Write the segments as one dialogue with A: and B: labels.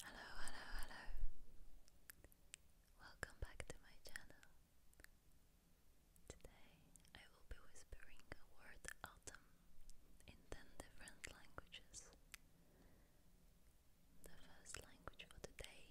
A: Hello, hello, hello. Welcome back to my channel. Today I will be whispering a word autumn in 10 different languages. The first language for today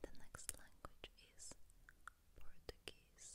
A: The next language is Portuguese.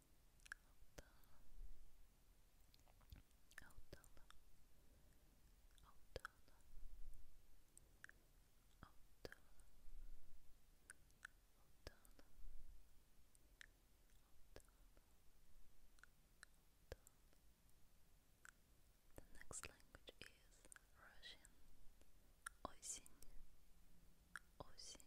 A: The next language is Russian. Осень, осень,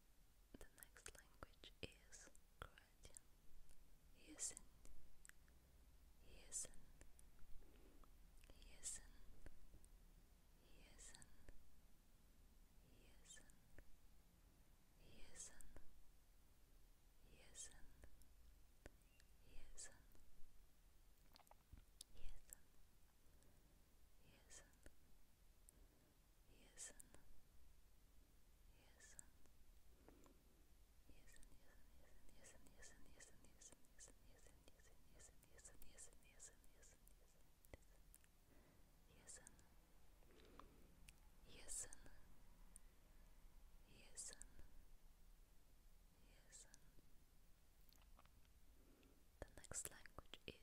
A: The next language is Croatian. Jesen, jesen, jesen, jesen, jesen, jesen, jesen, jesen, jesen. Jesen, Yes. Yes. The next language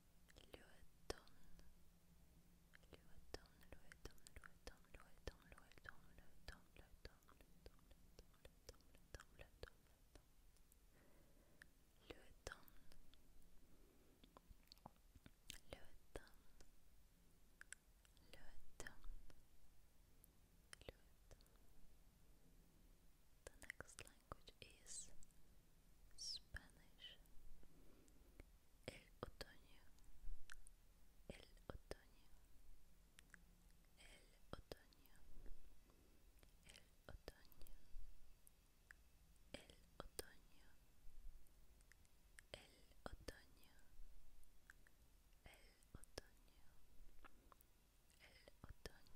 A: L'automne, l'automne, l'automne, l'automne, l'automne, l'automne, l'automne, l'automne, l'automne, l'automne, l'automne, L'automne. The next language is Spanish El otoño El otoño El otoño El otoño El otoño El otoño El otoño El otoño el otoño,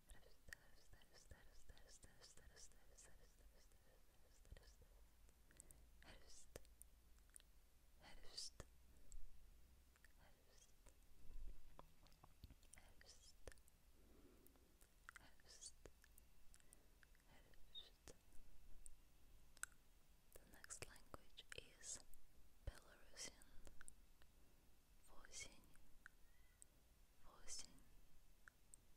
A: Herfst. Herfst. Herfst. Herfst. Herfst. Herfst. The next language is Belarusian. Восемь. Восемь.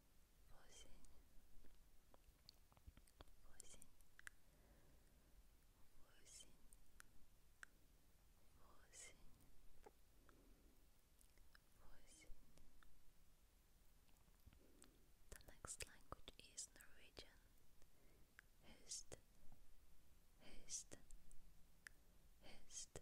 A: восемь, восемь, The next language is Norwegian. Hist, hist, hist,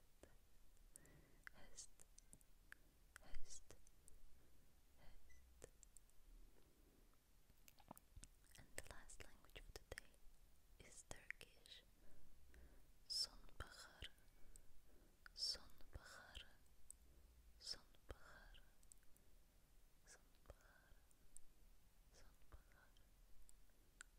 A: Hest, Hest, And the last language of the day is Turkish. Sonbahar, Sonbahar, Sonbahar, Sonbahar, Sonbahar,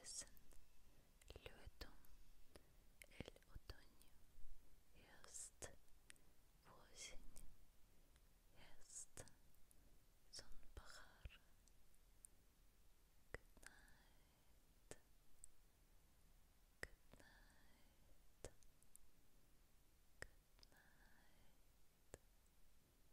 A: ياسن الوتم الأوتون هيست فوزن هيست سنبخار Good night. Good night. Good night.